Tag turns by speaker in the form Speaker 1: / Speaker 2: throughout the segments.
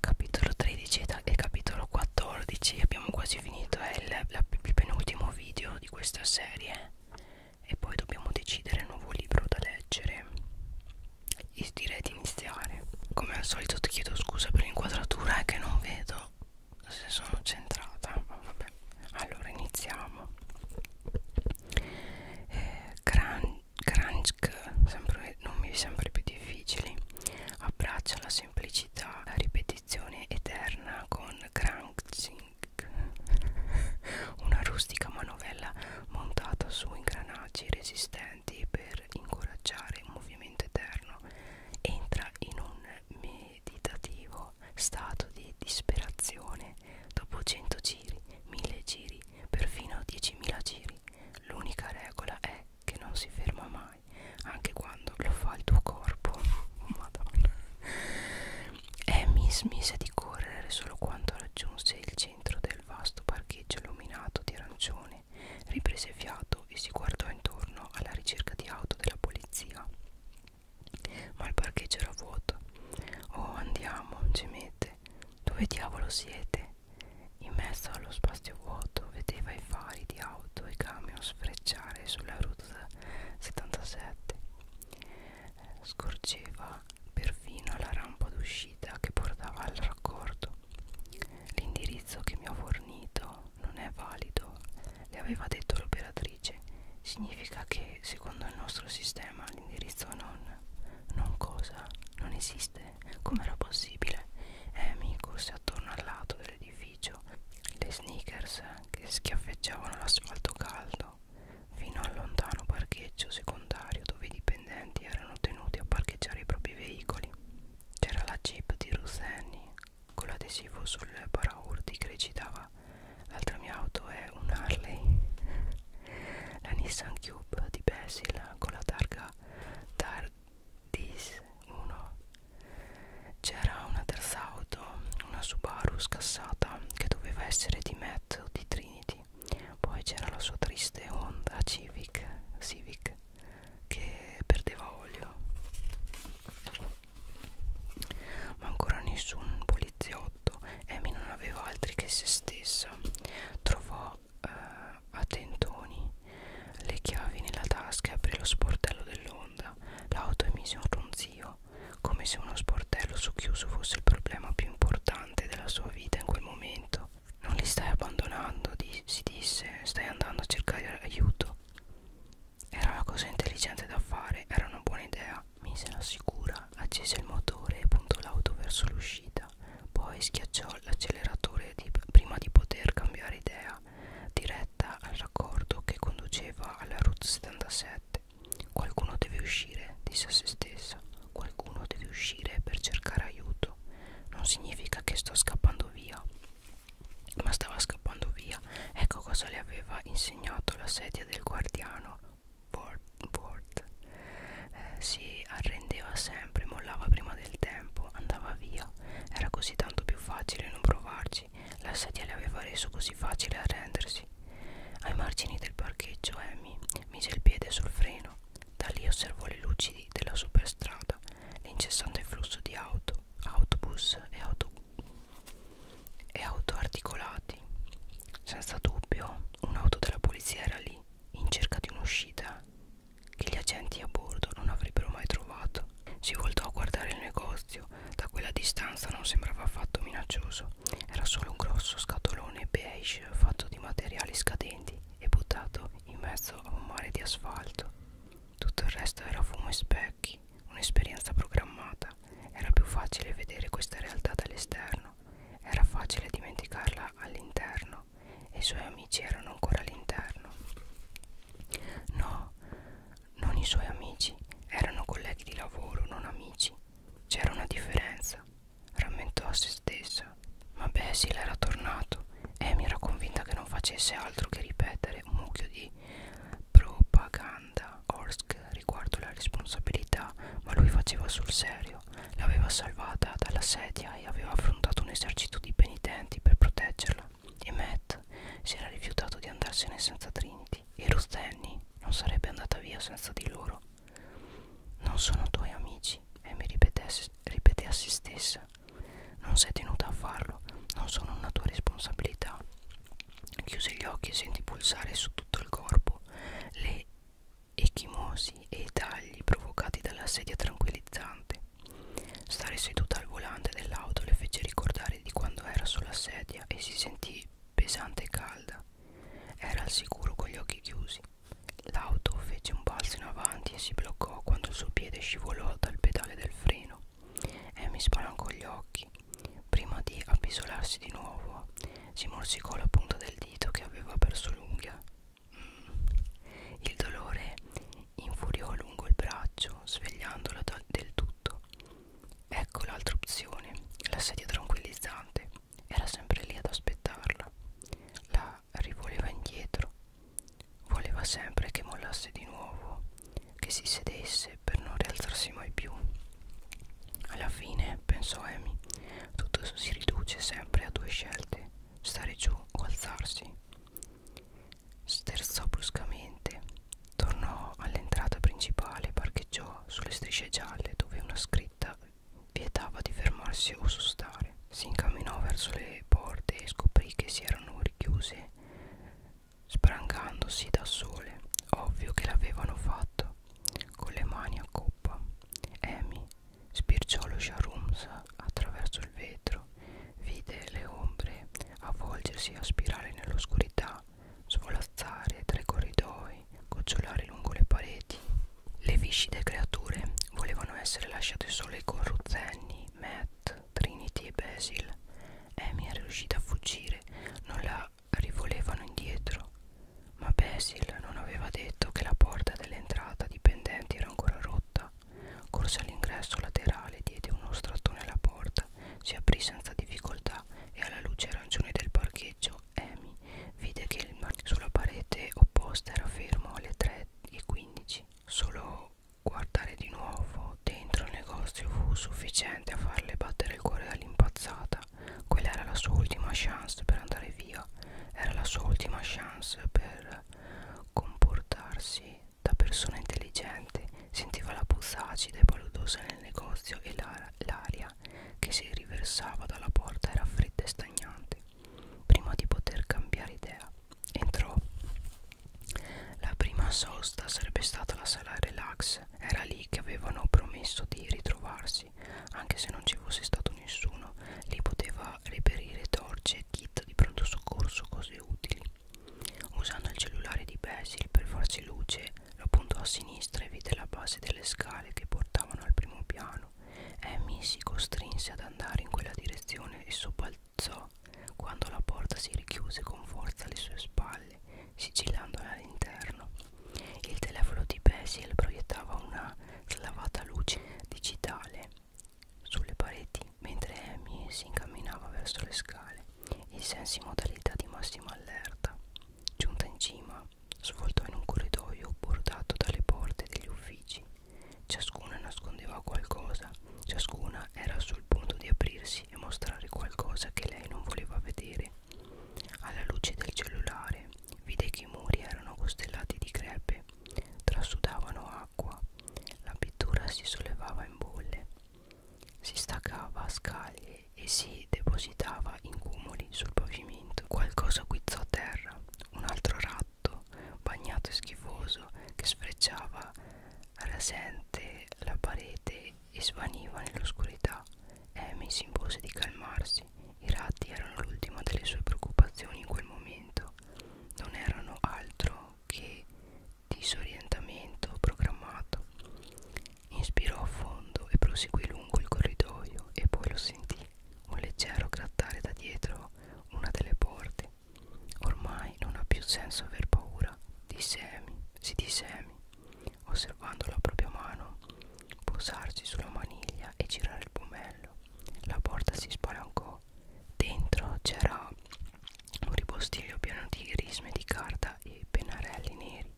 Speaker 1: capitolo 13 e capitolo 14 abbiamo quasi finito è il, la, il penultimo video di questa serie e poi dobbiamo decidere il nuovo libro da leggere e direi di iniziare come al solito ti chiedo scusa per l'inquadratura è che non vedo se sono centrata vabbè allora iniziamo eh, gran, crunch sempre, nomi sempre più difficili abbraccia la semplicità la ripetizione eterna con crunching una rustica manovella montata su ingranaggi resistenti per incoraggiare un movimento eterno entra in un meditativo stato di disperazione dopo 100 giri, 1000 giri, perfino 10.000 giri L'unica regola è che non si ferma mai, anche quando lo fa il tuo corpo. Madonna. Amy eh, smise di correre solo quando raggiunse il centro del vasto parcheggio illuminato di arancione. Riprese fiato e si guardò intorno alla ricerca di auto della polizia. Ma il parcheggio era vuoto. Oh, andiamo, gemette. Dove diavolo siete? In mezzo allo spazio vuoto vedeva i fari di auto e camion sfrecciare sulla route 77. Scorgeva perfino la rampa d'uscita che portava al raccordo. L'indirizzo che mi ha fornito non è valido, le aveva detto l'operatrice. Significa che secondo il nostro sistema l'indirizzo non... non cosa? Non esiste strade. Com'era possibile? Eh, Amy corse attorno al lato dell'edificio. Le sneakers che schiaffeggiavano l'asfalto caldo fino al lontano parcheggio secondario dove i dipendenti erano tenuti a parcheggiare i propri veicoli. C'era la jeep di Ruth Annie con l'adesivo sul paraurti che recitava L'altra mia auto è un Harley la Nissan Cube di Basil con la targa Tardis 1 c'era una terza auto una Subaru scassata che doveva essere di Matt o di Trinity poi c'era la sua triste Honda Civic, Civic che perdeva olio ma ancora nessun poliziotto Amy non aveva altri che se stessa trovò girò eh, a tentoni le chiavi nella tasca e aprì lo sportello dell'onda. L'auto emise un ronzio, come se uno sportello socchiuso fosse il problema più importante della sua vita in quel momento. Non li stai abbandonando, di si disse, stai andando a cercare aiuto. Era la cosa intelligente da fare, era una buona idea. Mise la sicura, accese il motore e puntò l'auto verso l'uscita guida poi schiacciò l'acceleratore di, prima di poter cambiare idea diretta al raccordo che conduceva alla route 77 qualcuno deve uscire disse a se stessa qualcuno deve uscire per cercare aiuto non significa che sto scappando via ma stava scappando via ecco cosa le aveva insegnato la sedia del guardiano Ward eh, si arrendeva sempre, mollava prima del tempo, andava via. Era così tanto più facile non provarci. La sedia le aveva reso così facile arrendersi. Ai margini del parcheggio Amy mise il piede sul freno. Da lì osservò le luci della superstrada, l'incessante flusso di auto, autobus e auto, e auto articolati. Senza dubbio, un'auto della polizia era lì in cerca di un'uscita che gli agenti a bordo non avrebbero mai trovato. Si voltò a guardare il negozio, da quella distanza non sembrava affatto minaccioso, era solo un grosso scatolone beige fatto di materiali scadenti e buttato in mezzo a un mare di asfalto. Tutto il resto era fumo e specchi, un'esperienza programmata, era più facile vedere questa realtà dall'esterno, era facile dimenticarla all'interno là e i suoi amici erano ancora all'interno. No, non i suoi amici, erano colleghi di lavoro, non amici. C'era una differenza, rammentò a se stessa. Ma Basil era tornato e mi era convinta che non facesse altro che ripetere un mucchio di propaganda Orsk riguardo la responsabilità, ma lui faceva sul serio. Silvio l'aveva salvata dalla sedia e aveva affrontato un esercito di penitenti per proteggerla e Matt si era rifiutato di andarsene senza Trinity e Ruth Annie non sarebbe andata via senza di loro. Non sono tuoi amici, Amy ripete, ripete a se stessa. Non sei tenuta a farlo, non sono una tua responsabilità. Chiuse gli occhi e sentì pulsare su tutto il corpo le e chimosi e i tagli provocati dalla sedia tranquillizzante. Stare seduta al volante dell'auto le fece ricordare di quando era sulla sedia e si sentì pesante e calda. Era al sicuro con gli occhi chiusi. L'auto fece un balzo in avanti e si bloccò quando il suo piede scivolò dal pedale del freno. Amy spalancò gli occhi. Prima di appisolarsi di nuovo, si morsicò la punta del dito che aveva perso lunga il dolore infuriò lungo il braccio, svegliandola del tutto. Ecco l'altra opzione, la sedia tranquillizzante. Era sempre lì ad aspettarla. La rivoleva indietro. Voleva sempre che mollasse di nuovo, che si sedesse per non rialzarsi mai più. Alla fine, pensò Amy, tutto si riduce sempre a due scelte stare giù o alzarsi. Sterzò bruscamente, tornò all'entrata principale e parcheggiò sulle strisce gialle dove una scritta vietava di fermarsi o sostare. Si incamminò verso le porte e scoprì che si erano richiuse, spalancandosi da sole. Ovvio che l'avevano fatto, con le mani a coppia zuppa. Amy spirciò lo sharooms attraverso il vetro, vide le ombre avvolgersi a spirale nell'oscurità, svolazzare tra i corridoi, gocciolare lungo le pareti. Le viscide creature volevano essere lasciate sole con Ruzenni, Matt, Trinity e Basil. Amy era riuscita a fuggire, non la rivolevano indietro ma Basil non aveva detto che la porta dell'entrata dipendenti era ancora rotta. Corse all'ingresso laterale, diede uno strattone alla porta, si aprì senza difficoltà e alla luce arancione del parcheggio Amy vide che il mar sulla parete opposta era fermo alle 3.15. Solo guardare di nuovo dentro il negozio fu sufficiente a farle battere il cuore all'impazzata. Quella era la sua ultima chance per andare via era la sua ultima chance per comportarsi da persona intelligente. Sentiva la puzza acida e paludosa nel negozio e l'aria che si riversava dalla porta era fredda e stagnante. Prima di poter cambiare idea, entrò. La prima sosta sarebbe stata la sala relax. Era lì che avevano promesso di ritrovarsi passi anche se non ci fosse stato nessuno li poteva reperire torce e kit di pronto soccorso cose utili usando il cellulare di Basil per farsi luce lo puntò a sinistra e vide la base delle scale che portavano al primo piano Amy si costrinse ad andare in quella direzione e sobbalzò quando la porta si richiuse con forza alle sue spalle, sigillandola all'interno. Il telefono di Basil proiettava una slavata luce digitale sulle pareti mentre Amy si incamminava verso le scale il senso in modalità di massima allerta giunta in cima svoltò in un corridoio bordato dalle porte degli uffici ciascuna nascondeva qualcosa ciascuna era sul punto di aprirsi e mostrare qualcosa che lei non voleva vedere alla luce del cellulare vide che i muri erano costellati di crepe trasudavano acqua, la pittura si sollevava in bolle, si staccava a scaglie e si depositava in cumuli sul pavimento. Qualcosa guizzò terra, un altro ratto, bagnato e schifoso, che sfrecciava rasente la parete e svaniva nell'oscurità. Amy si impose di calmarsi sorpresi. I ratti erano l'ultima delle sue preoccupazioni in quel momento. Non erano altro che disorientamento programmato. Inspirò a fondo e proseguì lungo il corridoio e poi lo sentì un leggero grattare da dietro una delle porte. Ormai non ha più senso aver paura, disse Amy, si disse Amy, osservando la propria mano posarsi sulla maniglia e girare il pomello la porta si spalancò. Dentro c'era un ripostiglio pieno di risme di carta e pennarelli neri,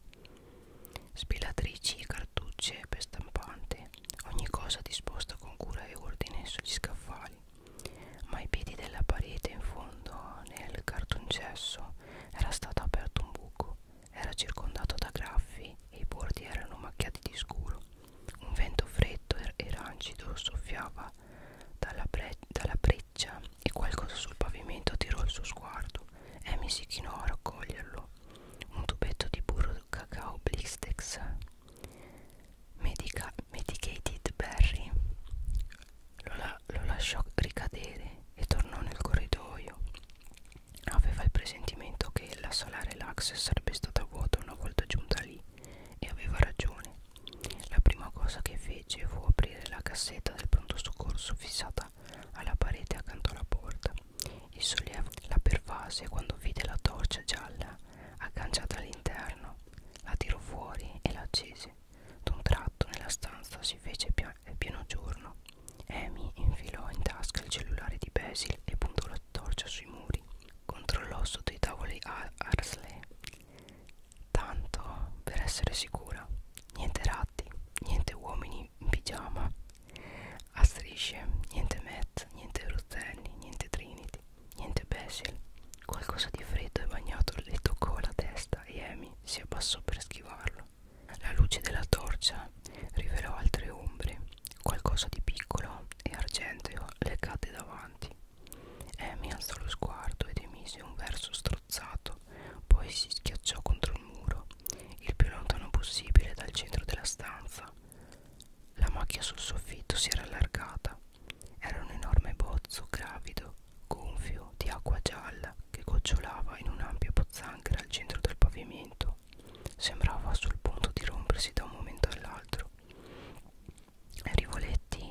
Speaker 1: spilatrici e cartucce per stampante, ogni cosa disposta con cura e ordine sugli scaffali. Ma ai piedi della parete in fondo, nel cartoncesso, era stato aperto un buco, era circondato da graffi e i bordi erano macchiati di scuro. Un vento freddo e rancido soffiava dalla, dalla breccia e qualcosa sul pavimento tirò il suo sguardo. Amy si chinò a raccoglierlo. Un tubetto di burro cacao blistex. Medica medicated berry. Lo, la lo lasciò ricadere e tornò nel corridoio. Aveva il presentimento che la sala relax sarebbe stata vuota una volta giunta lì e aveva ragione. La prima cosa che fece fu aprire la cassetta del pronto soccorso fissata alla parete accanto alla porta. Il sollievo la pervase quando vide la torcia gialla agganciata all'interno. La tirò fuori e la accese. D'un tratto nella stanza si fece pieno giorno. Amy infilò in tasca il cellulare di Basil e puntò la torcia sui muri controllò sotto i tavoli a Arsley tanto per essere sicura niente ratti niente uomini in pigiama a strisce niente Matt niente Rustenni niente Trinity niente Basil qualcosa di freddo e bagnato le toccò la testa e Amy si abbassò per schivarlo la luce della torcia rivelò altre ombre qualcosa di piccolo e argenteo le cadde davanti. Amy eh, alzò lo sguardo ed emise un verso strozzato, poi si schiacciò contro il muro, il più lontano possibile dal centro della stanza. La macchia sul soffitto si era allargata. Era un enorme bozzo gravido, gonfio, di acqua gialla che gocciolava in un'ampia pozzanghera al centro del pavimento. Sembrava sul punto di rompersi da un momento all'altro. Rivoletti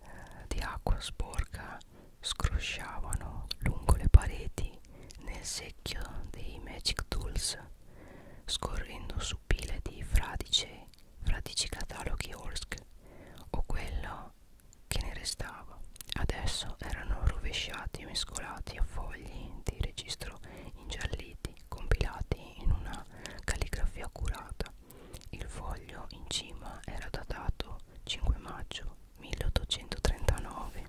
Speaker 1: eh, di acqua sporca scrosciavano lungo le pareti nel secchio dei Magic Tools, scorrendo su pile di fradice, fradici cataloghi Orsk o quello che ne restava. Adesso erano rovesciati e mescolati a fogli di registro ingialliti compilati in una calligrafia accurata. Il foglio in cima era datato 5 maggio 1839.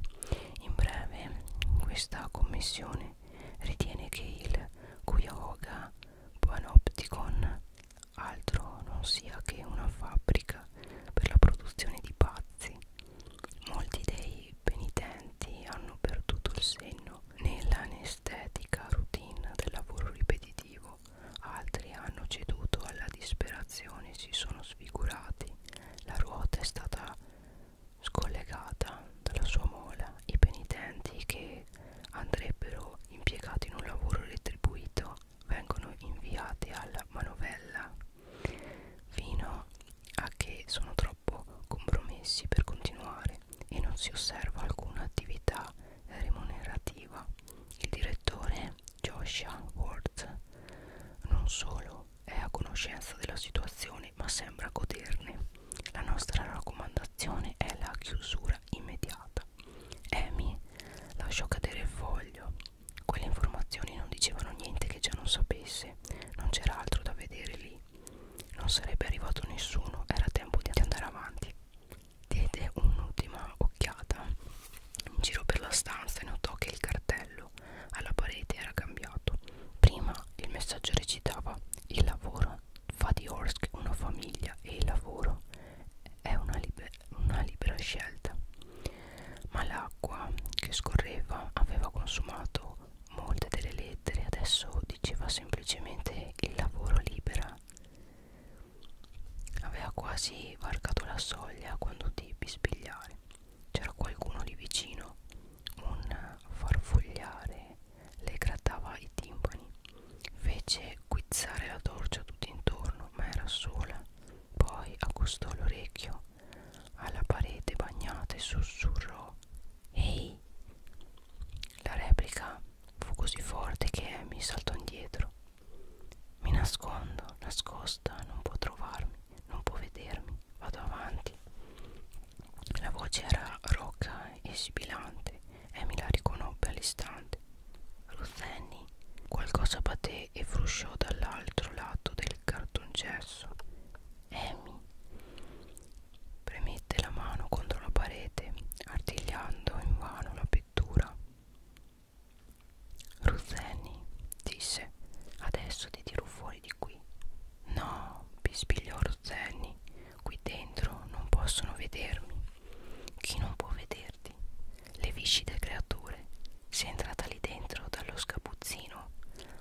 Speaker 1: In breve, questa commissione ritiene che il Cuyahoga Panopticon altro non sia che una fabbrica per la produzione di pazzi. Molti dei molti penitenti hanno perduto il senno nell'anestetica routine del lavoro ripetitivo, altri hanno ceduto alla disperazione, si sono sfigurati, la ruota è stata scollegata dalla sua mola, i penitenti che andrebbero impiegati in un lavoro retribuito vengono inviati alla manovella fino a che sono troppo compromessi per continuare e non si osserva alcuna attività remunerativa. Il direttore Joshua Ward non solo è a conoscenza della situazione ma sembra goderne. La nostra raccomandazione è la chiusura immediata. Amy lasciò cadere il foglio. Quelle informazioni non dicevano niente che già non sapesse, non c'era altro da vedere lì non sarebbe arrivato nessuno, era tempo di andare avanti. Diede un'ultima occhiata in giro per la stanza e notò che il cartello alla parete era cambiato. Prima il messaggio recitava il lavoro fa di Orsk una famiglia e il lavoro è una, liber una libera scelta. Ma l'acqua che scorreva aveva consumato molte delle lettere adesso diceva semplicemente il lavoro libera aveva quasi varcato la soglia quando devi spigliare c'era qualcuno lì vicino un farfugliare le grattava i timpani fece guizzare la torcia tutto intorno ma era sola poi accostò l'orecchio alla parete bagnata e sussurrò Ehi! La replica fu così forte che mi saltò indietro. Mi nascondo, nascosta, non può trovarmi, non può vedermi, vado avanti. La voce era rocca e sibilante e mi la riconobbe all'istante. Ruzzenni, qualcosa batté e frusciò dall'altro lato del cartongesso. Amy premette la mano contro la parete artigliando invano la pittura Ruzzeni disse adesso ti tiro fuori di qui no bispigliò Ruzzeni qui dentro non possono vedermi chi non può vederti le viscide creature sei entrata lì dentro dallo scapuzzino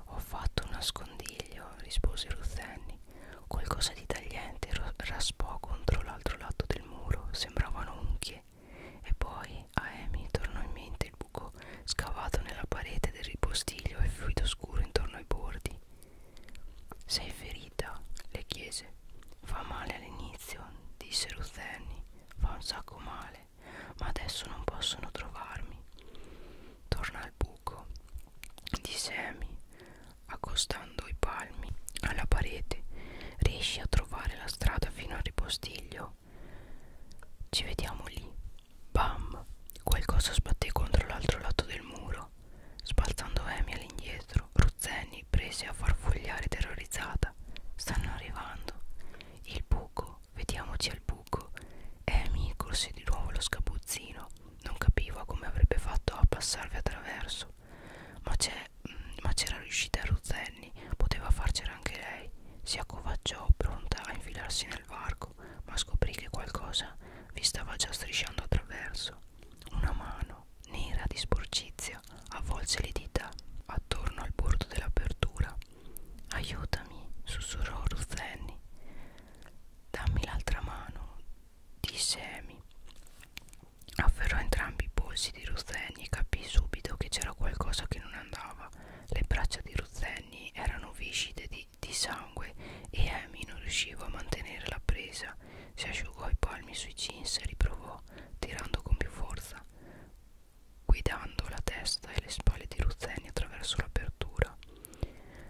Speaker 1: ho fatto un nascondiglio rispose Ruzzeni Qualcosa di tagliente raspò contro l'altro lato del muro, sembravano unghie. E poi a Amy tornò in mente il buco scavato nella parete del ripostiglio e fluido scuro intorno ai bordi. Sei ferita? le chiese. Fa male all'inizio, disse Rutherni. Fa un sacco male, ma adesso non possono trovarmi. Torna al buco di semi accostando i palmi alla parete riesci a trovare la strada fino al ripostiglio ci vediamo lì bam qualcosa sbatté contro l'altro lato del muro spalzando Amy all'indietro Ruzzeni prese a farfugliare terrorizzata stanno arrivando il buco vediamoci al buco Amy corse di nuovo lo scapuzzino non capiva come avrebbe fatto a passarvi attraverso ma mm, c'era riuscita Ruzzanni poteva farcela anche lei si accovacciò pronta a infilarsi nel varco ma scoprì che qualcosa vi stava già strisciando attraverso una mano nera di sporcizia avvolse le dita attorno al bordo dell'apertura aiutami sussurrò Ruzzanni Dammi l'altra mano, disse Amy. Afferrò entrambi i polsi di Ruzzeni e capì subito che c'era qualcosa che non andava. Le braccia di Ruzzeni erano viscide di, di sangue e Amy non riusciva a mantenere la presa. Si asciugò i palmi sui jeans e riprovò, tirando con più forza, guidando la testa e le spalle di Ruzzeni attraverso l'apertura.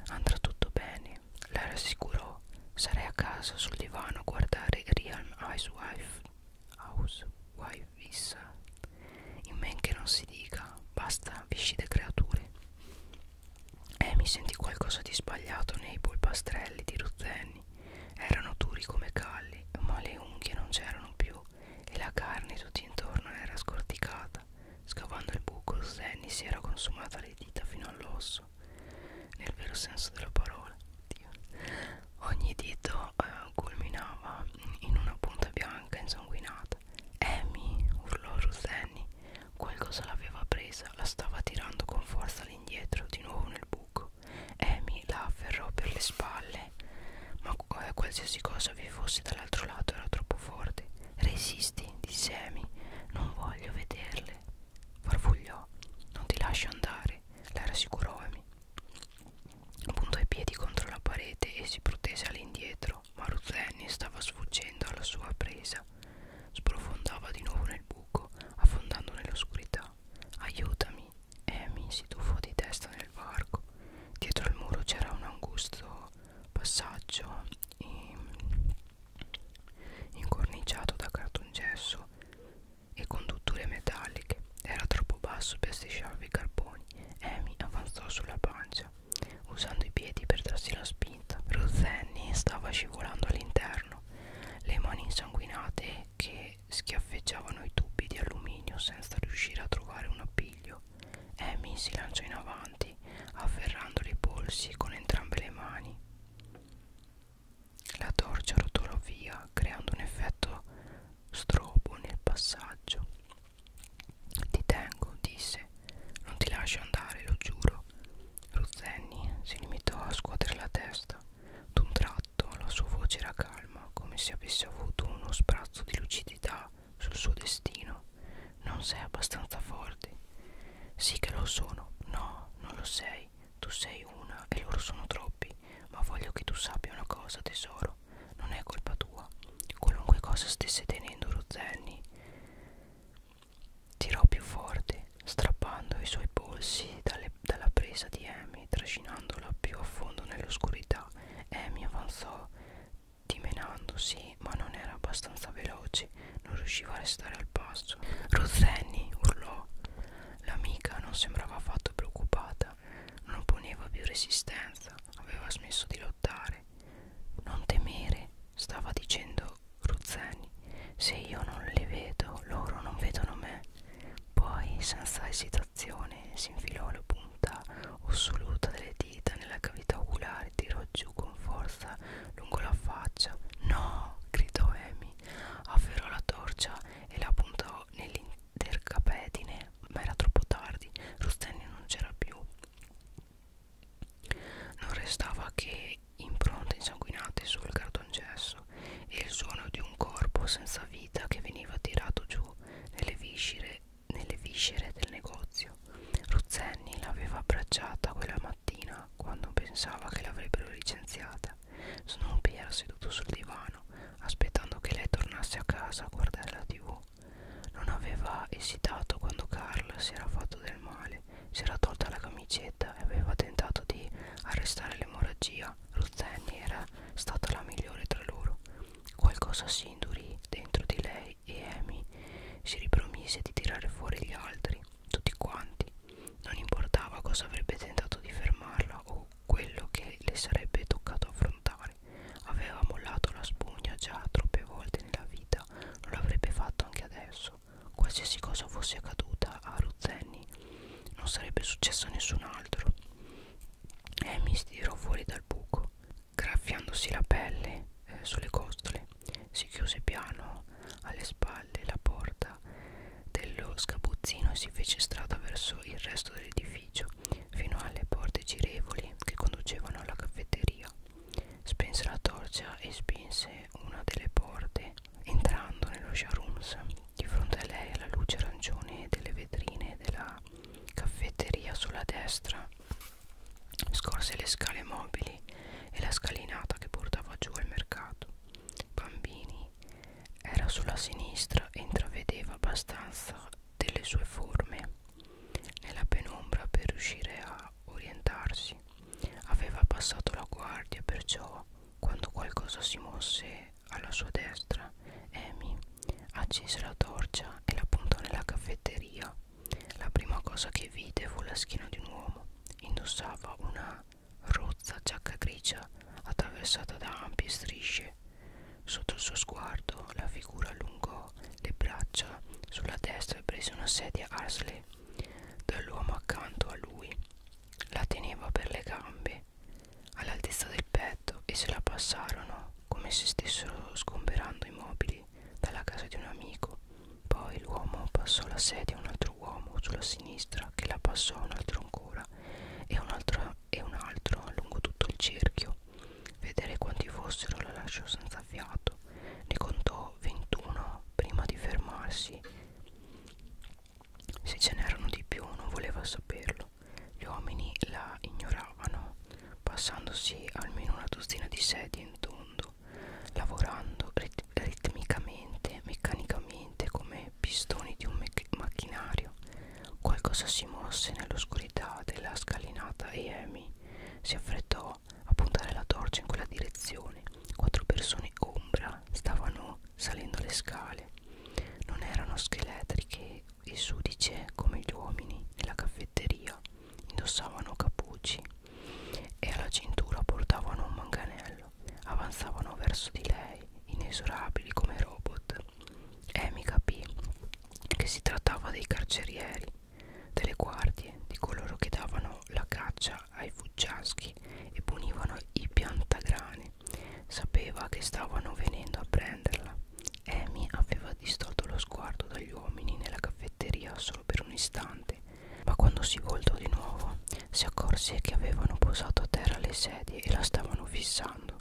Speaker 1: Andrà tutto bene, anni. La rassicurò, sarei a casa sul divano a guardare Real Housewife. Housewife vissa. In men che non si dica, basta viscide creature. E eh, mi sentì qualcosa di sbagliato nei polpastrelli di Ruzzeni. Erano duri come calli, ma le unghie non c'erano più e la carne tutto intorno era scorticata affilata. Scavando il buco, Zenny si era consumata le dita fino all'osso, nel vero senso della parola. Dio. Ogni dito eh, culminava in una punta bianca insanguinata. Amy, urlò Rosenny, qualcosa l'aveva presa, la stava tirando con forza all'indietro, di nuovo nel buco. Amy la afferrò per le spalle, ma eh, qualsiasi cosa vi fosse dall'altro lato era troppo forte. Resistiti tristi, di semi, non voglio vederle. Farfugliò, non ti lascio andare, la rassicurò Amy. Puntò i piedi contro la parete e si protese all'indietro, ma Ruth Annie stava sfuggendo alla sua presa. Sprofondava di nuovo nel buco, affondando nell'oscurità. Aiutami! Amy si tuffò di testa nel varco. Dietro il muro c'era un angusto passaggio. E incorniciato da cartongesso e condutture metalliche. Era troppo basso per strisciarvi i carboni. Amy avanzò sulla pancia, usando i piedi per darsi la spinta. Rozenni stava scivolando all'interno, le mani insanguinate che schiaffeggiavano i tubi di alluminio senza riuscire a trovare un appiglio. Amy si lanciò in avanti avanti afferrandole i polsi con entrambe le mani la torcia rotolò via creando un effetto strobo nel passaggio ti tengo disse non ti lascio andare lo giuro Ruzenni si limitò a scuotere la testa d'un tratto la sua voce era calma come se avesse avuto uno sprazzo di lucidità sul suo destino non sei abbastanza forte. Sì che lo sono. No, non lo sei. Tu sei una e loro sono troppi. Ma voglio che tu sappia una cosa, tesoro. Non è colpa tua. Qualunque cosa stesse tenendo Rozenni. Tirò più forte, strappando i suoi polsi dalle, dalla presa di Amy, trascinandola più a fondo nell'oscurità. Amy avanzò dimenandosi, ma non era abbastanza veloce, non riusciva a restare al passo. Rozzeni urlò. L'amica non sembrava affatto preoccupata, non opponeva più resistenza, aveva smesso di lottare. Non temere, stava dicendo Ruzzeni, se io non le vedo, loro non vedono me. Poi, senza esitazione, si infilò la punta ossoluta delle dita nella cavità oculare cellulare tirò giù con forza lungo la faccia. No! gridò Amy. Afferrò la torcia e la puntò nell'intercapedine, ma era troppo tardi. Rustelli non c'era più. Non restava che impronte insanguinate sul cartongesso e il suono di un corpo senza vita che veniva tirato giù nelle viscere, nelle viscere del negozio meglio Ruzzenni l'aveva abbracciata quella mattina quando pensava che l'avrebbero licenziata Snoopy era seduto sul divano aspettando che lei tornasse a casa a guardare la tv non aveva esitato quando Carl si era fatto del male si era tolta la camicetta e aveva tentato di arrestare l'emorragia Ruzzenni era stata la migliore tra loro qualcosa si indurì dentro di lei Guy e Amy si ripromise di tirare fuori gli altri, tutti quanti. Non importava cosa avrebbe tentato di fermarla o quello che le sarebbe toccato affrontare. Aveva mollato la spugna già troppe volte nella vita, non l'avrebbe fatto anche adesso. Qualsiasi cosa fosse accaduta a Ruzzeni non sarebbe successo a nessun altro. Amy si tirò fuori dal buco, graffiandosi la pelle eh, sulle costole si chiuse piano alle spalle la porta dello sgabuzzino e si fece strada verso il resto dell'edificio fino alle porte girevoli che conducevano alla caffetteria spense la torcia e spinse una delle porte entrando nello showrooms di fronte a lei alla luce arancione delle vetrine della caffetteria sulla destra Scorse le scale mobili e la scalinata che portava giù al mercato. Bambini era sulla sinistra e intravedeva abbastanza delle sue forme nella penombra per riuscire a orientarsi. Aveva passato la guardia, perciò quando qualcosa si mosse alla sua destra, Amy accese la torcia e la puntò nella caffetteria la prima cosa che vide fu la schiena di un uomo. Indossava una rozza giacca grigia attraversata da ampie strisce. Sotto il suo sguardo la figura allungò le braccia sulla destra e prese una sedia Arsley dall'uomo accanto a lui. La teneva per le gambe, all'altezza del petto e se la passarono come se stessero sgomberando i mobili dalla casa di un amico. Poi l'uomo passò la sedia a un altro uomo sulla sinistra, che la passò a un altro ancora, e un altro e un altro lungo tutto il cerchio. Vedere quanti fossero la lasciò senza fiato. Ne contò 21 prima di fermarsi. Se ce n'erano di più non voleva saperlo. Gli uomini la ignoravano, passandosi almeno una dozzina di sedie in tondo lavorando rit ritmicamente, meccanicamente come pistoni di un macchinario. Qualcosa si mosse nell'oscurità della scalinata e Amy si affrettò a puntare la torcia in quella direzione. Quattro persone ombra stavano salendo le scale. Non erano scheletriche e sudice come gli uomini nella caffetteria. Indossavano cappucci e alla cintura portavano un manganello. Avanzavano verso di lei, inesorabili come robot. Amy capì che si trattava dei carcerieri, delle guardie, di coloro che davano la caccia ai fuggiaschi e punivano i piantagrani. Sapeva che stavano venendo a prenderla. Amy aveva distolto lo sguardo dagli uomini nella caffetteria solo per un istante ma quando si voltò di nuovo, si accorse che avevano posato a terra le sedie e la stavano fissando.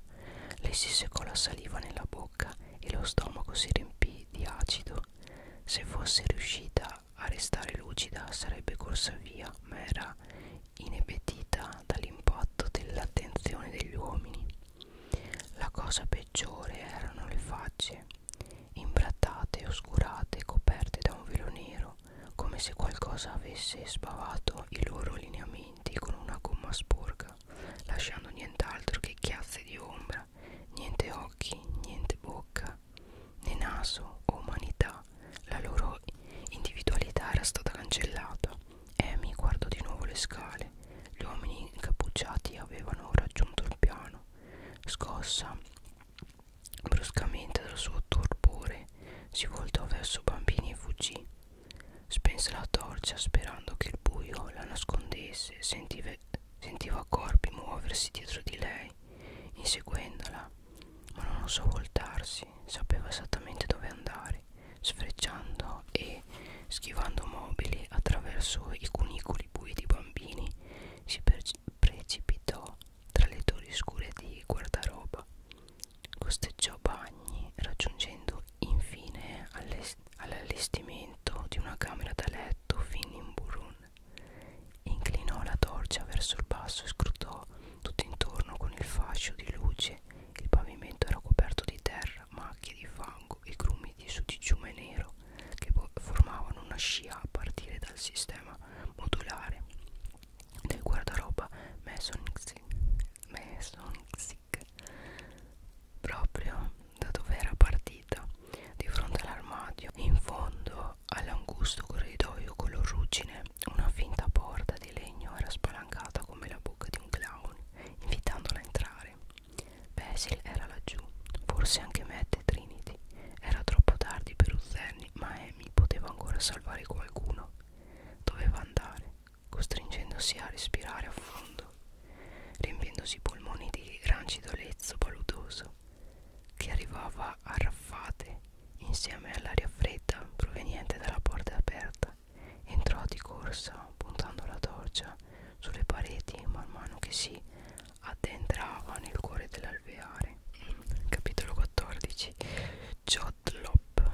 Speaker 1: Lei si seccò la saliva nella bocca e lo stomaco si riempì di acido. Se fosse riuscita a restare lucida sarebbe corsa via, ma era inebetita dall'impatto dell'attenzione degli uomini. La cosa peggiore erano le facce, imbrattate, oscurate, coperte da un velo nero, come se qualcosa avesse sbavato i loro lineamenti con una gomma sporca, lasciando nient'altro che chiazze di ombra, niente occhi, niente bocca, né naso o umanità. La loro individualità era stata cancellata. Amy guardò di nuovo le scale. Gli uomini incappucciati avevano raggiunto il piano. Scossa bruscamente dal suo torpore, si voltò verso Bambini e fuggì. Spense la torcia sperando che il buio la nascondesse, sentive, sentiva corpi muoversi dietro di lei, inseguendola, ma non osò voltarsi, sapeva esattamente dove andare, sfrecciando e schivando mobili attraverso i cunicoli bui di bambini, si precipitò tra le torri scure di guardaroba costeggiò bagni raggiungendo infine all'allestimento di una camera da letto fin in burun inclinò la torcia verso il basso e scrutò tutto intorno con il fascio di luce il pavimento era coperto di terra macchie di fango e grumi di sudiciume nero che formavano una scia a partire dal sistema modulare del guardaroba Mesonic proprio da dove era partita di fronte all'armadio in fondo all'angusto corridoio color ruggine una finta porta di legno era spalancata come la bocca di un clown invitandola a entrare Basil era laggiù, forse anche Matt e Trinity. Era troppo tardi per Uzerni, ma Amy poteva ancora salvare qualcuno. Doveva andare, costringendosi a respirare a fondo, riempiendosi i polmoni di rancido lezzo paludoso che arrivava a raffate insieme all'aria fredda proveniente dalla porta aperta. Entrò di corsa puntando la torcia sulle pareti man mano che si addentrava nel cuore dell'alveare. Capitolo 14 Jodlop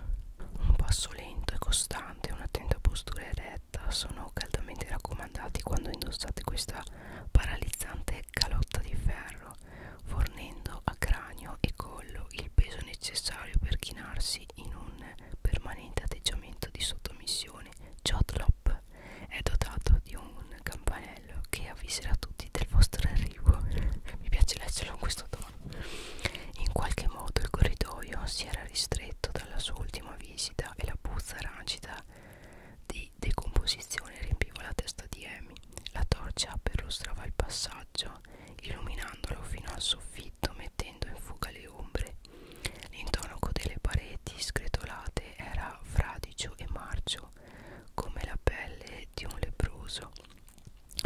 Speaker 1: Un passo lento e costante, un'attenta postura eretta sono caldamente raccomandati quando indossate questa paralizzante calotta di ferro, fornendo a cranio e collo il peso necessario per chinarsi in un permanente atteggiamento di sottomissione. Jodlop Club è dotato di un campanello che avviserà tutti del vostro arrivo. Mi piace leggerlo in questo tono. In qualche modo il corridoio si era ristretto dalla sua ultima visita e la puzza rancida di decomposizione riempiva la testa di Amy. La torcia perlustrava il passaggio, illuminandolo fino al soffitto, mettendo in fuga le ombre. L'intonaco delle pareti scretolate era fra sadicio e marcio come la pelle di un leproso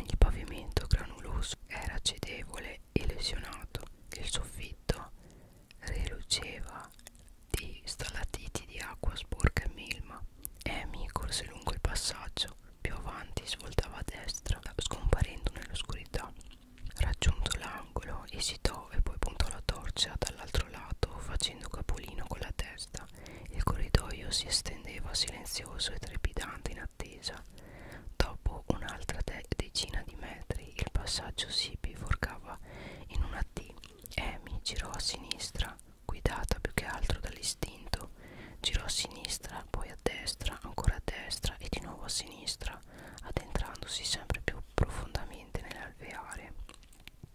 Speaker 1: il pavimento granuloso era cedevole e lesionato il soffitto reluceva di stalatiti di acqua sporca e melma Amy corse lungo il passaggio più avanti svoltava a destra scomparendo nell'oscurità raggiunto l'angolo esitò piove, poi puntò la torcia dall'altro lato facendo capolino con la testa. Il corridoio si estendeva silenzioso e trepidante in attesa. Dopo un'altra de decina di metri il passaggio si biforcava in una T. Amy girò a sinistra, guidata più che altro dall'istinto. Girò a sinistra, poi a destra, ancora a destra e di nuovo a sinistra, addentrandosi sempre più profondamente nell'alveare.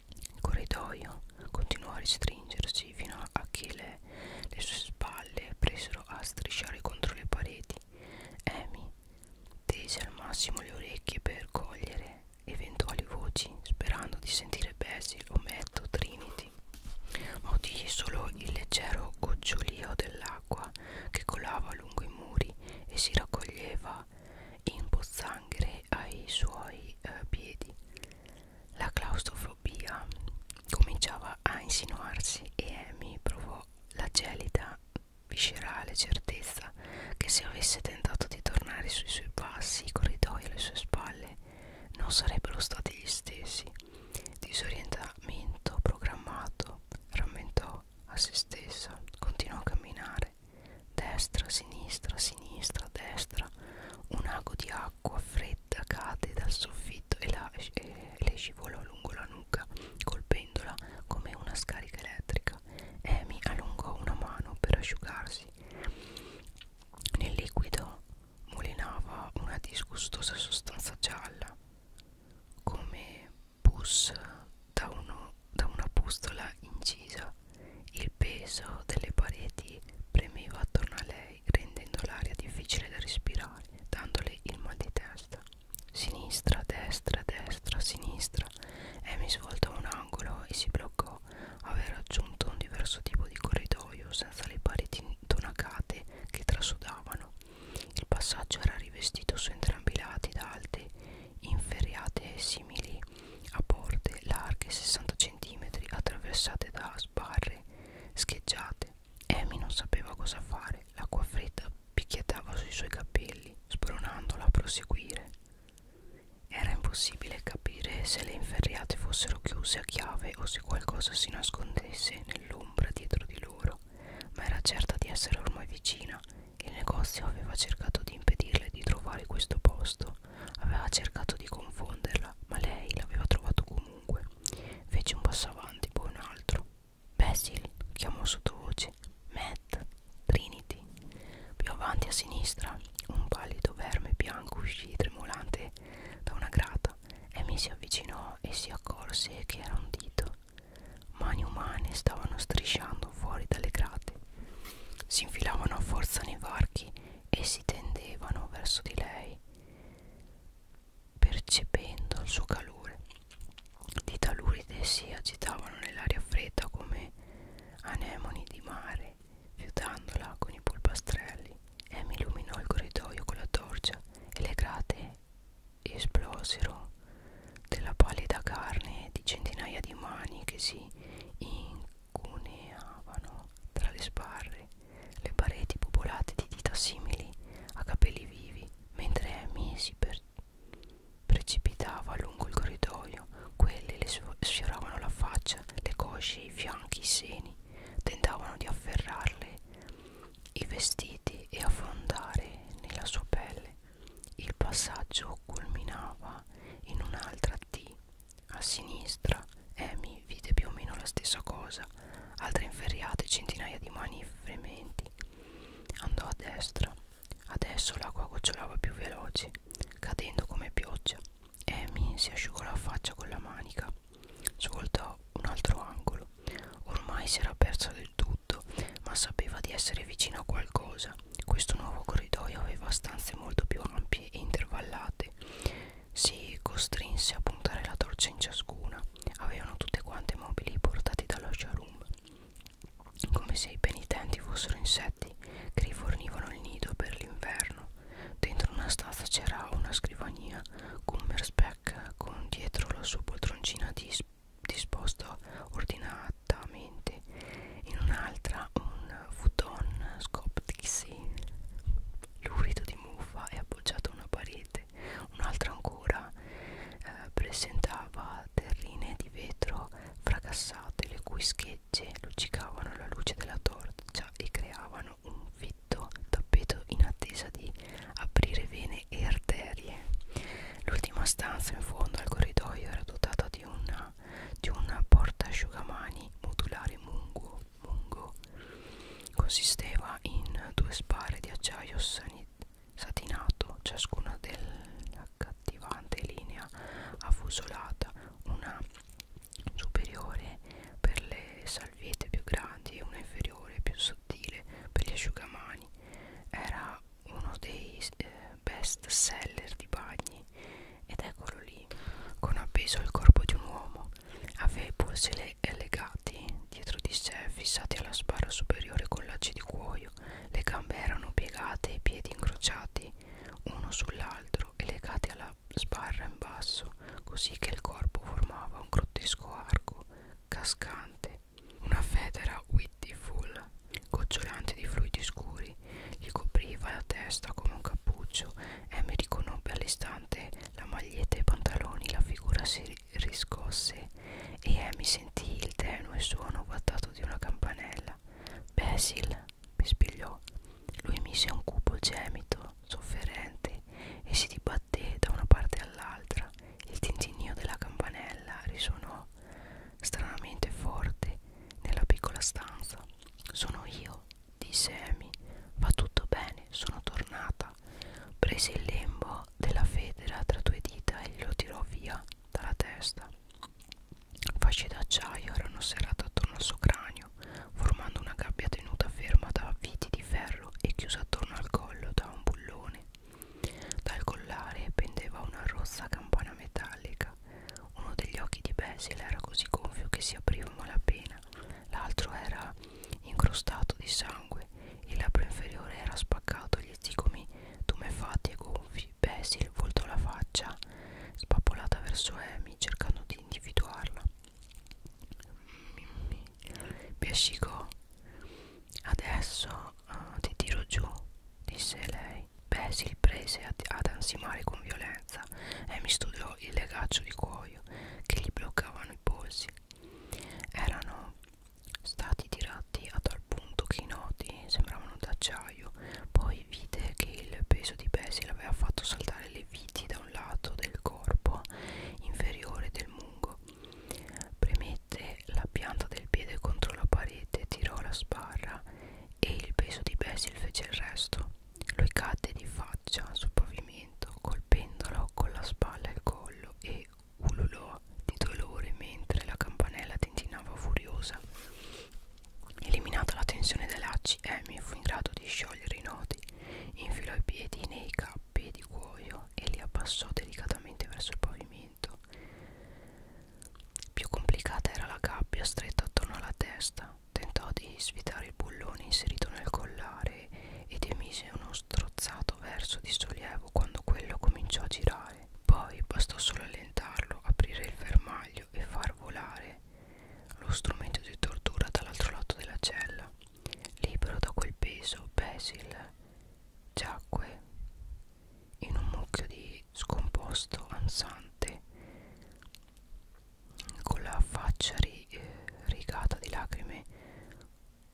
Speaker 1: Il corridoio continuò a restringersi fino a che le, le sue spalle presero a strisciare contro le pareti. Amy tese al massimo le orecchie per cogliere eventuali voci, sperando di sentire Basil o Matt o Trinity. Ma udì solo il leggero gocciolio dell'acqua che colava lungo i muri e si raccoglieva in pozzanghere ai suoi eh, piedi. La claustrofobia cominciava a insinuarsi e Amy provò la gelida viscerale certezza che se avesse tentato di tornare sui suoi passi i corridoi alle sue spalle non sarebbero stati gli stessi. Disorientamento programmato, rammentò a se stessa, continuò a camminare Destra, sinistra, sinistra, destra. Un ago di acqua fredda cade dal soffitto e, la, e le scivolò lungo la nuca, colpendola come una scarica elettrica. Amy allungò una mano per asciugarsi. Nel liquido mulinava una disgustosa sostanza gialla, come pus da, uno, da una bustola incisa. Il peso delle pareti premeva attorno a lei, rendendo l'aria difficile da respirare, dandole il mal di testa. Sinistra, destra, destra, sinistra. Amy svoltò un angolo e si bloccò. Aveva raggiunto un diverso tipo di corridoio senza le pareti tonacate che trasudavano. Il passaggio era rivestito su entrambi i lati da alte inferriate simili a porte larghe 60 cm attraversate da sbarre scheggiate. Amy non sapeva cosa fare, l'acqua fredda picchiettava sui suoi capelli, spronandola a proseguire. Era impossibile capire se le inferriate fossero chiuse a chiave o se qualcosa si nascondesse nell'ombra dietro di loro, ma era certa di essere ormai vicina il negozio aveva cercato di impedirle di trovare questo posto, aveva cercato di confonderla, ma lei l'aveva trovato comunque. Fece un passo avanti, poi un altro. Basil chiamò sottovoce. Matt, Trinity. Più avanti a sinistra, un pallido verme bianco uscì tremolante da una grata. Amy si avvicinò e si accorse che era un dito. Mani umane stavano strisciando fuori dalle grate si infilavano a forza nei varchi e si tendevano verso di lei percependo il suo calore di taluride si agitavano nell'aria fredda come anemoni di mare fiutandola con i polpastrelli Amy illuminò il corridoio con la torcia e le grate esplosero della pallida carne di centinaia di mani che si incuneavano tra le sbarre le pareti popolate di dita simili a capelli vivi, mentre Amy si per precipitava lungo il corridoio, quelle le sfioravano la faccia, le cosce, i fianchi, i seni, tentavano di afferrarle i vestiti e affondare nella sua pelle. Il passaggio culminava in un'altra T. A sinistra Amy vide più o meno la stessa cosa, altre inferriate, centinaia di mani e frementi. Andò a destra. Adesso l'acqua gocciolava più veloce, cadendo come pioggia. Amy si asciugò la faccia con la manica. Svoltò un altro angolo. Ormai si era persa del tutto, ma sapeva di essere vicino a qualcosa. Questo nuovo corridoio aveva stanze molto più ampie e intervallate. Si costrinse a puntare la torcia in ciascuna. Avevano tutte quante mobili portati dallo showroom, come se i penitenti fossero insetti che rifornivano il nido per l'inverno. Dentro una stanza c'era una scrivania Gummerspeck con dietro la sua poltroncina dis disposta ordina esattamente in un'altra un futon scoptixi lurido di muffa e appoggiato a una parete un'altra ancora eh, presentava terrine di vetro fracassate le cui schegge luccicavano alla luce della torcia e creavano un fitto tappeto in attesa di aprire vene e arterie l'ultima stanza in fondo al corridoio era dotata di una di un portasciugamani modulare mungo, mungo. Consisteva in due spare di acciaio satinato, ciascuna dell'accattivante linea affusolata, una superiore per le salviette più grandi e una inferiore più sottile per gli asciugamani. Era uno dei eh, best seller di bagni ed eccolo lì, con appeso il corpo di un uomo. Aveva i polsi legati dietro di sé, fissati alla spalla superiore con lacci di cuoio. Le gambe erano piegate e i piedi incrociati uno sull'altro e legati alla sbarra in basso, così che il corpo formava un grottesco arco cascante. Una federa Whittiful gocciolante di fluidi scuri gli copriva la testa come un cappuccio Amy riconobbe all'istante la maglietta e i pantaloni la figura si riscosse e Amy sentì il tenue suono guattato di una campanella Basil pispigliò lui mise un cupo gemito sofferente e si dibatté da una parte all'altra il tintinnio della campanella risuonò urlò stranamente forte nella piccola stanza. Sono io, disse Amy. Va tutto bene, sono tornata. Prese il lembo della federa tra due dita e glielo tirò via dalla testa. Fasce d'acciaio erano serrate attorno al suo cranio, formando una gabbia tenuta ferma da viti di ferro e chiusa attorno al collo da un bullone. Dal collare pendeva una rossa campana metallica bianca. Uno degli occhi di Basil era così gonfio che si apriva malapena, l'altro era incrostato di sangue, il labbro inferiore era spaccato, gli zigomi tumefatti e gonfi. Basil voltò la faccia spappolata verso Amy, cercando di individuarla. Mimmi, biascicò. Adesso uh, ti tiro giù, disse lei. Beh si riprese ad, ad ansimare con violenza e mi studiò il legaccio di cuoio che gli bloccavano i polsi. Erano stati tirati a tal punto che i nodi sembravano d'acciaio. Poi vide che il peso di Basil aveva fatto saltare le viti da un lato del corpo inferiore del mungo. Premette la pianta del piede contro la parete, tirò la sbarra e il peso di Basil fece il resto. Lui cadde di faccia sul pavimento, colpendolo con la spalla e il collo e ululò di dolore mentre la campanella tintinava furiosa. Eliminata la tensione dai lacci, Amy fu in grado di sciogliere i nodi, infilò i piedi nei cappi di cuoio e li abbassò delicatamente verso il pavimento. Più complicata era la gabbia stretta attorno alla testa. Tentò di svitare il bullone inserito nel collare ed emise uno strozzato verso di sollievo quando quello cominciò a girare. Poi bastò solo allentarlo, aprire il fermaglio e far volare lo strumento di tortura dall'altro lato della cella. Libero da quel peso, Basil giacque in un mucchio di scomposto ansante con la faccia ri, eh, rigata di lacrime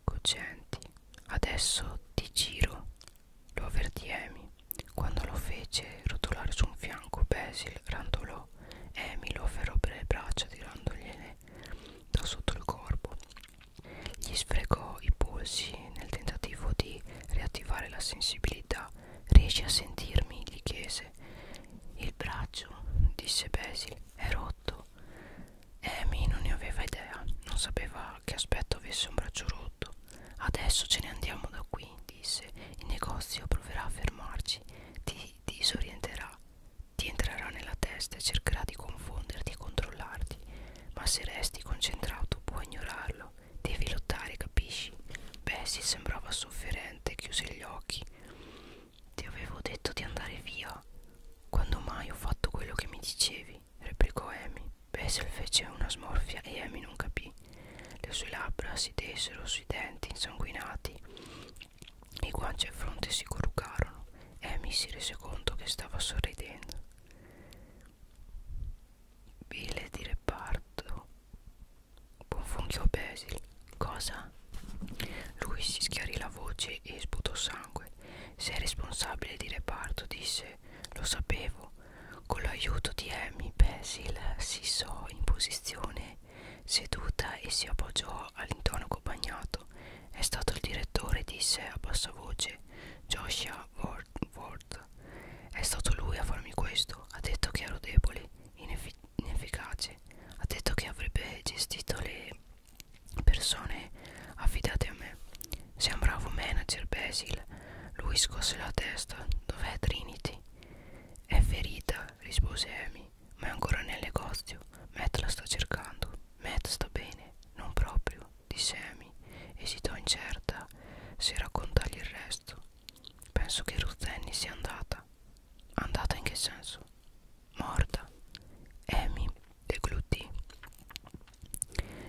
Speaker 1: cocenti adesso ti giro lo avvertì Amy quando lo fece rotolare su un fianco Basil rantolò Amy lo afferrò per le braccia tirandogliene da sotto il corpo gli sfregò i polsi nel tentativo di riattivare la sensibilità Riesci a sentirmi? gli chiese. Il braccio, disse Basil, è rotto. Amy non ne aveva idea, non sapeva che aspetto avesse un braccio rotto. Adesso ce ne andiamo da qui, disse. Il negozio proverà a fermarci, ti disorienterà, ti entrerà nella testa e cercherà di confonderti e controllarti. Ma se resti concentrato puoi ignorarlo nulla devi lottare capisci Bessie sembrava sofferente chiuse gli occhi ti avevo detto di andare via quando mai ho fatto quello che mi dicevi replicò Amy Bessel fece una smorfia e Amy non capì le sue labbra si desero sui denti insanguinati i guanci e fronte si corrugarono Amy si rese conto che stava sorridendo Bile di reparto Buonfunchio Basil Cosa? Lui si schiarì la voce e sputò sangue Sei responsabile di reparto disse Lo sapevo Con l'aiuto di Amy Basil si so in posizione seduta e si appoggiò all'intonaco bagnato È stato il direttore disse a bassa voce Joshua Ward, Ward cosa. È stato lui a farmi questo. Ha detto che ero debole, ineffi inefficace. Ha detto che avrebbe gestito le persone affidate a me. Sei un bravo manager, Basil. Lui scosse la testa. Dov'è Trinity? È ferita, rispose Amy. Ma è ancora nel negozio. Matt la sta cercando. Matt sta bene. Non proprio, disse Amy. Esitò incerta se raccontargli il resto. Penso che Ruth Annie sia andata. Andata in che senso? Morta. Amy deglutì.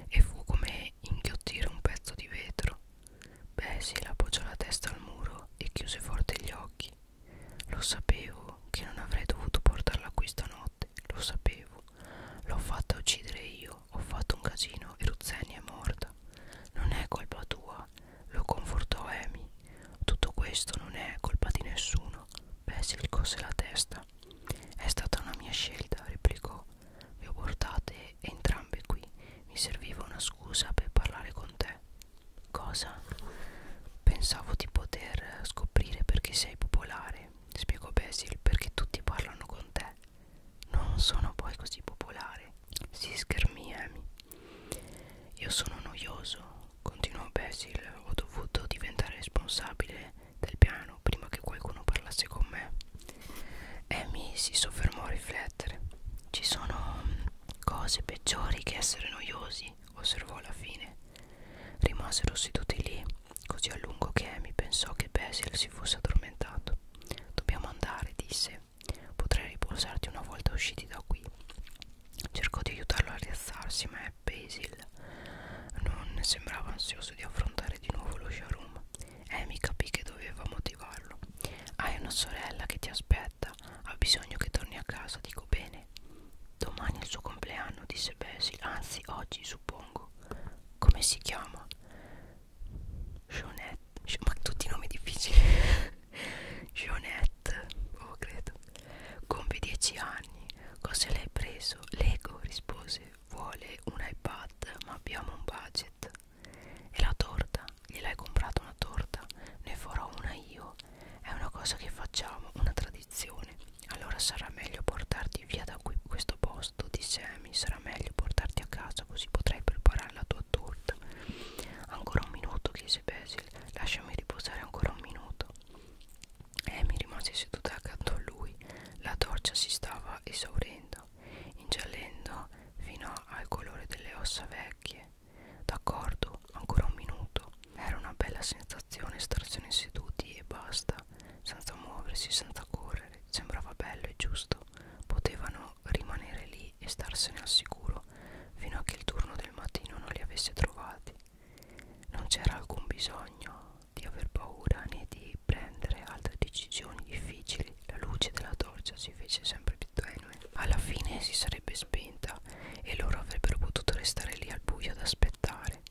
Speaker 1: E fu come inghiottire un pezzo di vetro. Bessie l'appoggiò la testa al muro e chiuse forte gli occhi. Lo sapevo che non avrei dovuto portarla qui stanotte. Lo sapevo. L'ho fatta uccidere io io ho fatto un casino e Ruzzeni è morta. Non è colpa tua, lo confortò Amy. Tutto questo non è colpa di nessuno. Basil cose la testa. È stata una mia scelta, replicò. Vi ho portate entrambe qui. Mi serviva una scusa per parlare con te. Cosa? Pensavo di poter scoprire perché sei popolare, spiegò Basil, perché tutti parlano con te. Non sono poi così popolare, si schermia Amy. Io sono noioso, continuò Basil. Ho dovuto diventare responsabile del piano prima che qualcuno parlasse con me. Amy si soffermò a riflettere. Ci sono mm, cose peggiori che essere noiosi, osservò alla fine. Rimasero seduti lì così a lungo che Amy pensò che Basil si fosse addormentato. Dobbiamo andare, disse. Potrei riposarti una volta usciti da qui. Cercò di aiutarlo a rialzarsi, ma Basil non sembrava ansioso di affrontare di nuovo lo showroom. Amy eh, capì che doveva motivarlo. Hai una sorella che ti aspetta, ha bisogno che torni a casa, dico bene. Domani è il suo compleanno, disse Basil, anzi oggi suppongo. Come si chiama? Jonette ma tutti i nomi difficili Jonette oh, credo compie 10 anni cosa l'hai preso? Lego rispose vuole un iPad ma abbiamo un budget e la torta? gliel'hai comprata una torta? ne farò una io è una cosa che facciamo una tradizione allora sarà meglio portarti via da qui questo posto disse Amy sarà meglio portarti a casa così potrai preparare la tua torta ancora un minuto chiese Basil lasciami riposare ancora un minuto Amy rimase seduta accanto a lui la torcia si stava esaurendo ingiallendo fino al colore delle ossa vecchie d'accordo ancora un minuto era una bella sensazione starsene seduti e basta senza muoversi senza correre sembrava bello e giusto potevano dovevano rimanere lì e starsene al sicuro fino a che il turno del mattino non li avesse trovati. Non c'era alcun bisogno di aver paura né di prendere altre decisioni difficili. La luce della torcia si fece sempre più tenue. Alla fine si sarebbe spenta e loro avrebbero potuto restare lì al buio ad aspettare.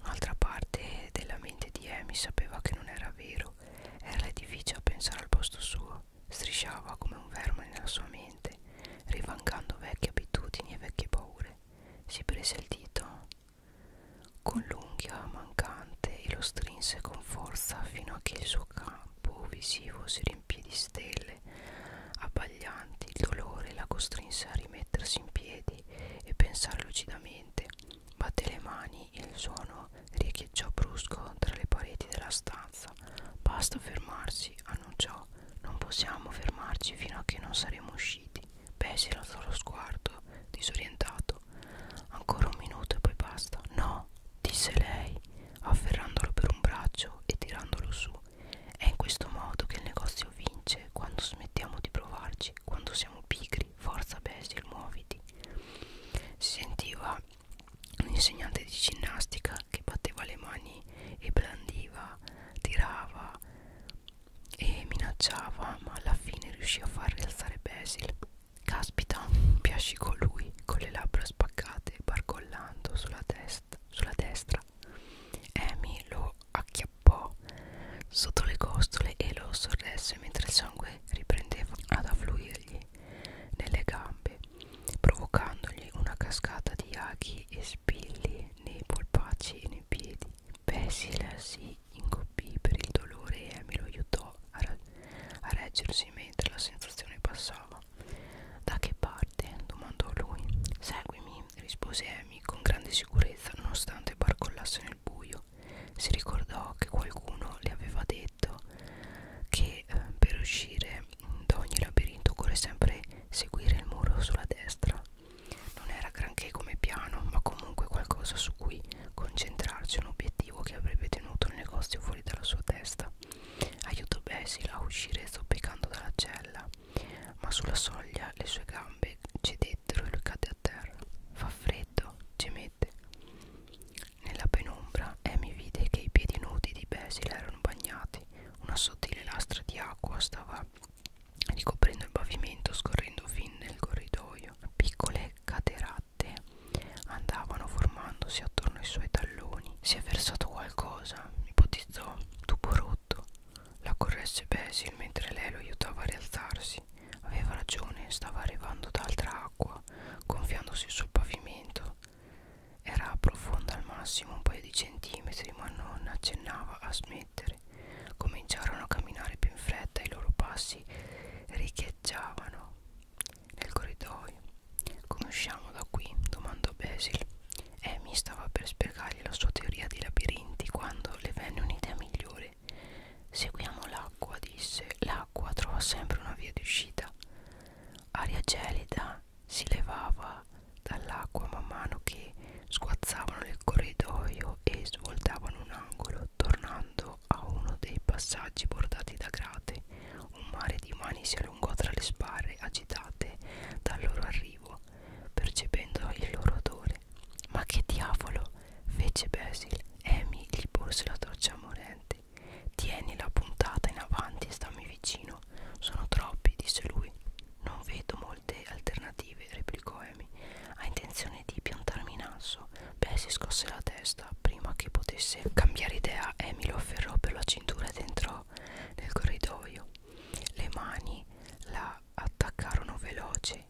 Speaker 1: Un'altra parte della mente di Amy sapeva che non era vero. Era difficile pensare al posto suo lavoro strisciava come un verme nella sua mente rivangando vecchie abitudini e vecchie paure si prese il dito con l'unghia mancante e lo strinse con forza fino a che il suo campo visivo si riempì di stelle abbaglianti il dolore la costrinse a rimettersi in piedi e pensare lucidamente batte le mani e il suono riecheggiò brusco tra le pareti della stanza. Basta fermarsi, annunciò. Non possiamo fermarci fino a che non saremo usciti. Bessie alzò lo sguardo, disorientato. Ancora un minuto e poi basta. No, disse lei, afferrandolo per un braccio e tirandolo su. È in questo modo che il negozio vince, quando smettiamo di provarci, quando siamo pigri. Forza, Basil, muoviti. Si sentiva un insegnante di ginnastica che batteva le mani e brandiva, tirava e minacciava, ma alla fine riuscì a far rialzare Basil. Caspita, piascicò lui con le labbra spaccate e barcollando sulla, sulla destra. Amy lo acchiappò sotto le costole e lo sorresse mentre il sangue riprendeva ad affluirgli nelle gambe, provocandogli una cascata di aghi e spilli nei polpacci e nei piedi. Pesila si ingobbì per il dolore e Amy lo aiutò a, a reggersi mentre la sensazione passava. Da che parte? domandò lui. Seguimi, rispose Amy con grande sicurezza nonostante barcollasse nel buio. Si ricordò che qualcuno le aveva detto detto che eh, per uscire da ogni labirinto occorre sempre seguire il muro sulla destra. Non era granché come piano, ma comunque qualcosa su cui concentrarci, un obiettivo che avrebbe tenuto il negozio fuori dalla sua testa. Aiutò Basil a uscire zoppicando dalla cella, ma sulla soglia le sue gambe cedettero e lui cadde a terra. Fa freddo, gemette fiammette. Nella penombra Amy vide che i piedi nudi di Basil erano bagnati, una sottile lastra di acqua stava ricoprendo il pavimento scorrendo fin nel corridoio. Piccole cateratte andavano formandosi attorno ai suoi talloni. Si è versato qualcosa, ipotizzò, tubo rotto. La corresse Basil mentre lei lo aiutava a rialzarsi. Aveva ragione, stava arrivando da altra acqua, gonfiandosi sul pavimento. Era profonda al massimo un paio di centimetri, ma non accennava a smettere. Cominciarono a camminare più in fretta e i loro passi riecheggiavano nel corridoio. Come usciamo da qui? domandò Basil. Amy stava per spiegargli la sua teoria di labirinti quando le venne un'idea migliore. Seguiamo l'acqua, disse. L'acqua trova sempre una via di uscita aria gelida si levava dall'acqua man mano che sguazzavano il corridoio e svoltavano un angolo tornando a uno dei passaggi bordati da grate un mare di mani si allungò tra le sbarre agitate dal loro arrivo percependo il loro odore ma che diavolo fece Basil Amy gli porse la torcia morente Tieni la puntata in avanti e stammi vicino. Sono troppi, disse lui. Non vedo molte alternative, replicò Amy. Ha intenzione di piantarmi in asso? Beh, si scosse la testa prima che potesse cambiare idea. Amy lo afferrò per la cintura ed entrò nel corridoio. Le mani la attaccarono veloci,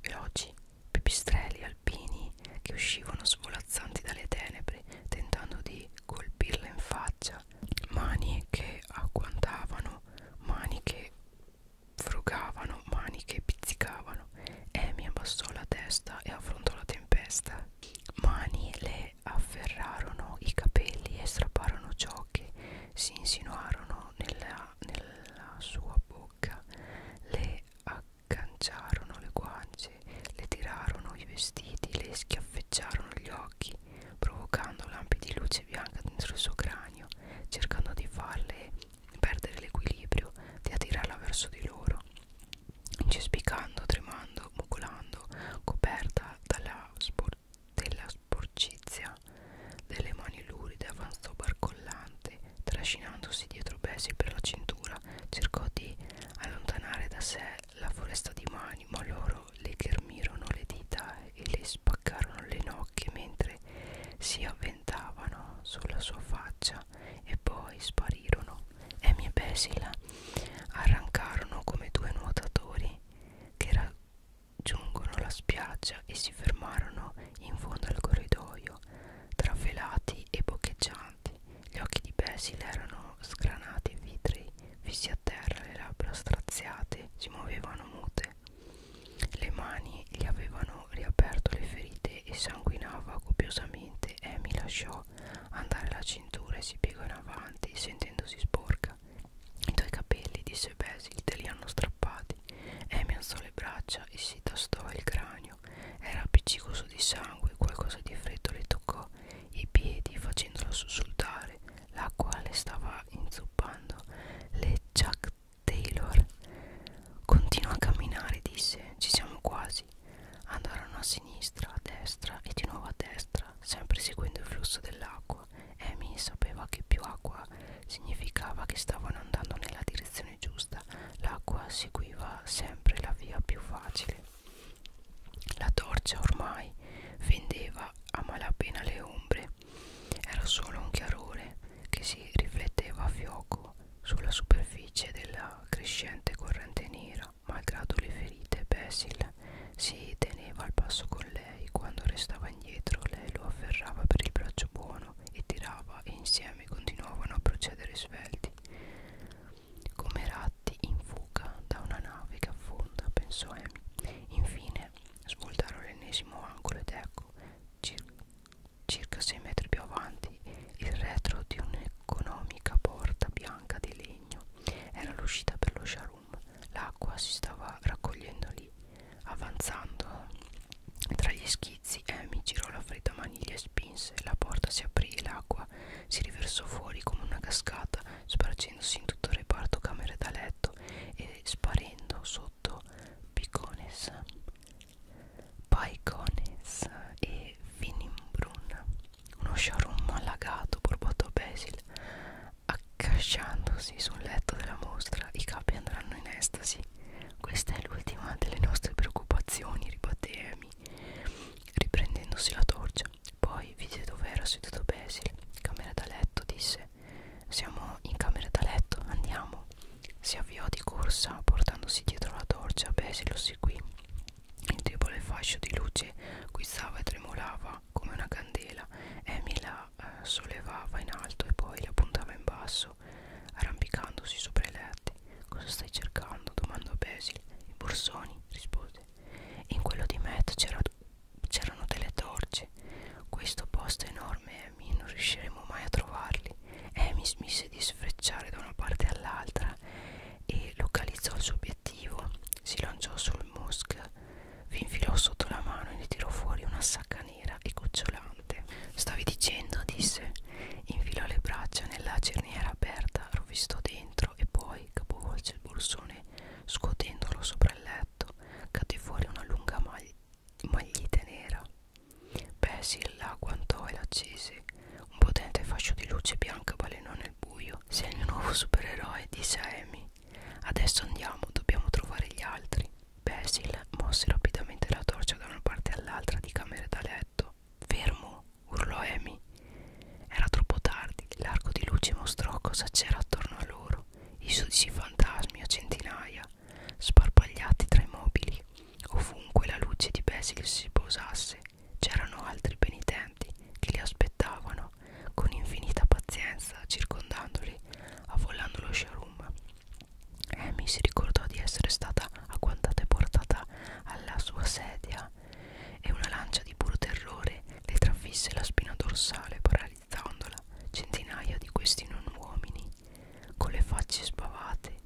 Speaker 1: veloci, pipistrelli alpini che uscivano svolazzanti dalle tenebre pari tentando di colpirla in faccia mani che agguantavano mani che frugavano mani che pizzicavano Amy abbassò la testa e affrontò la tempesta mani le afferrarono i capelli e strapparono ciò che si insinuarono nella, nella sua bocca le Canciarono le guance, le tirarono i vestiti, le schiaffeggiarono gli occhi, provocando lampi di luce bianca dentro il suo cranio, cercando di farle perdere l'equilibrio, di attirarla verso di loro, incespicando, tremando, mucolando, coperta dalla spor della sporcizia delle mani luride avanzò barcollante, trascinandosi dietro Bessie per la cintura terra cercò di allontanare da sé la foresta di mani ma loro le ghermirono le dita e le spaccarono le nocche mentre si avventavano sulla sua faccia e poi sparirono Amy e Pesila arrancarono come due nuotatori che raggiungono la spiaggia e si fermarono in fondo al corridoio trafelati e boccheggianti gli occhi di Basil erano sgranati e vitrei, fissi a terra, le labbra straziate, si muovevano mute. Le mani gli avevano riaperto le ferite e sanguinava copiosamente. Amy lasciò andare la cintura e si piegò in avanti, sentendosi sporca. I tuoi capelli, disse Basil, te li hanno strappati. Amy alzò le braccia e si tastò il cranio ginocchio era appiccicoso di sangue qualcosa di freddo le toccò i piedi facendola sussultare l'acqua le stava inzuppando le Chuck Taylor continua a camminare disse ci siamo quasi andarono a sinistra a destra e di nuovo a destra sempre seguendo il flusso dell'acqua Amy sapeva che più acqua significava che stavano andando nella direzione giusta l'acqua seguiva sempre la via più facile la torcia ormai fendeva a malapena le ombre. Era solo un chiarore che si rifletteva a fioco sulla superficie della crescente corrente nera. Malgrado le ferite, Basil si teneva al passo con lei. Quando restava indietro, lei lo afferrava per il braccio buono e tirava e insieme continuavano a procedere svelti come ratti in fuga da una nave che affonda, pensò Amy. Infine svoltarono l'ennesimo angolo ed ecco, cir circa 6 metri più avanti, il retro di un'economica porta bianca di legno. Era l'uscita per lo sharum. L'acqua si stava raccogliendo lì. Avanzando tra gli schizzi, Amy girò la fredda maniglia e spinse. La porta si aprì e l'acqua sopra si riversò fuori come una cascata spargendosi in tutto il reparto camere da letto e sparendo sotto picones paicones e finimbrun uno sciarummo allagato borbottò Basil accasciandosi sul letto della mostra i capi andranno in estasi questa è l'ultima delle nostre preoccupazioni ribatté Amy riprendendosi la torcia. Poi vide dove era seduto Basil, camera da letto, disse: Siamo in camera da letto, andiamo. Si avviò di corsa, portandosi dietro la torcia. Basil lo seguì. Il debole fascio di luce guizzava e tremolava come una candela. Amy la eh, sollevava in alto e poi la puntava in basso, arrampicandosi sopra il aperte. Cosa stai cercando? domandò Basil. I borsoni, rispose. In quello di Matt c'erano delle torce. Questo posto è enorme, Amy, non riusciremo mai a trovarli. Amy smise di sfrecciare da una parte all'altra e localizzò il suo obiettivo. Si lanciò sul musk, vi infilò sotto la mano e ne tirò fuori una sacca nera e gocciolante. Stavi dicendo, disse. Infilò le braccia nella cerniera aperta, rovistò dentro dentro e poi capovolse il borsone scuotendolo sopra il letto. Cadde fuori una lunga maglia maglietta nera. Basil la agguantò e l'accese. Un potente fascio di luce bianca balenò nel buio. Sei il mio nuovo supereroe, disse Amy. Adesso andiamo, dobbiamo trovare gli altri. Basil mosse rapidamente la torcia da una parte all'altra di camere da letto fermo, urlò Amy. Era troppo tardi, l'arco di luce mostrò cosa c'era attorno a loro, i sudici fantasmi a centinaia, sparpagliati tra i mobili. Ovunque la luce di Basil si posasse, c'erano altri penitenti che li aspettavano con infinita pazienza, circondandoli, avvolando lo showroom. Amy si ricordò di essere stata agguantata e portata alla sua sedia schiena e una lancia di puro terrore le trafisse la spina dorsale paralizzandola. Centinaia di questi non uomini, con le facce spavate,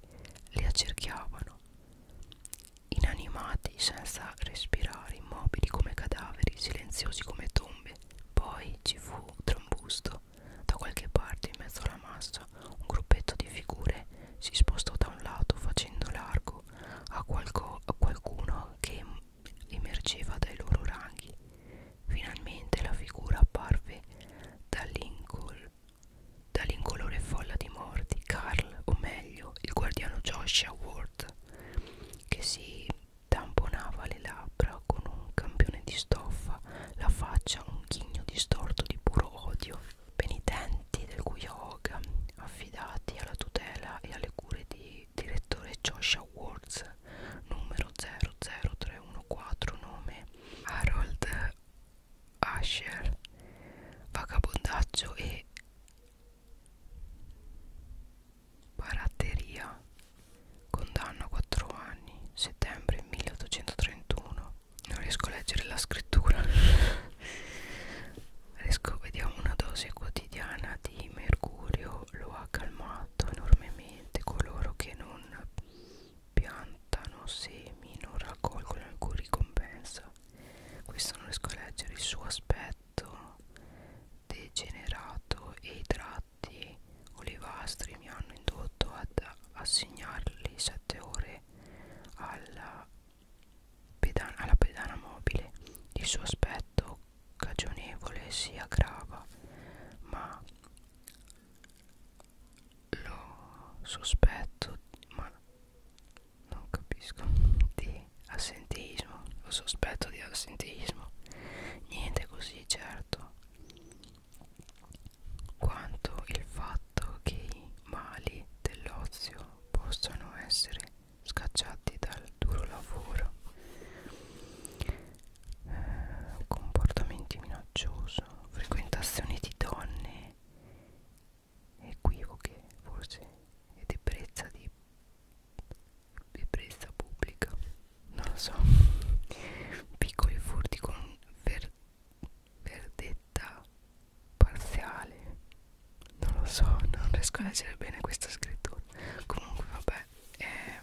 Speaker 1: le accerchiavano, inanimati, senza respirare, immobili come cadaveri, silenziosi come tombe. Poi ci fu trambusto. Da qualche parte, in mezzo alla massa, un gruppetto di figure si spostò da un lato facendo largo fianco ecco, a, qualco, a qualcuno che emergeva dai loro ranghi. Finalmente la figura apparve dall'incol dall'incolore folla di morti, Carl, o meglio, il guardiano Joshua Ward, che si tamponava le labbra con un campione di stoffa, la faccia un ghigno distorto di puro odio penitenti del Guyog affidati alla tutela e alle cure di direttore Joshua Woods numero 00314 nome Harold Asher vagabondaggio e baratteria condanna a 4 anni settembre 1831 non riesco a leggere la scrittura Resco, vediamo una dose quotidiana di mercurio lo ha calmato enormemente coloro che non piantano semi non raccolgono alcun ricompensa questo non riesco a leggere il suo aspetto degenerato e i tratti olivastri mi hanno indotto ad assegnargli sette ore alla pedana, alla pedana mobile il suo aspetto cagionevole si aggrava ma lo sospetto ma non capisco di assenteismo lo sospetto di assenteismo niente così certo quanto il fatto che i mali dell'ozio possano essere scacciati dal duro lavoro eh, comportamenti minacciosi frequentazioni di donne equivoche forse e deprezza di deprezza pubblica non lo so piccoli furti con ver, verdetta parziale non lo so non riesco a leggere bene questa scrittura comunque vabbè ehm,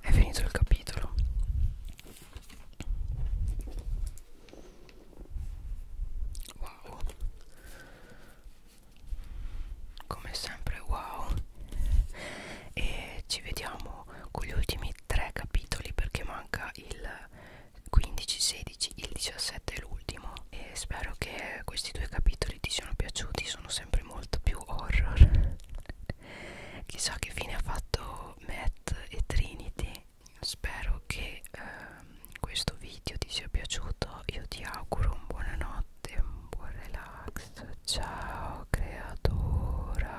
Speaker 1: è finito il capitolo wow come sempre wow e ci vediamo con gli ultimi ultimi tre capitoli perché manca il 15, 16, il 17 è l'ultimo e spero che questi due capitoli ti siano piaciuti, sono sempre molto più horror. Chissà che fine ha fatto Matt e Trinity. Spero che ehm, questo video ti sia piaciuto, io ti auguro un buonanotte, un buon relax. Ciao creatura.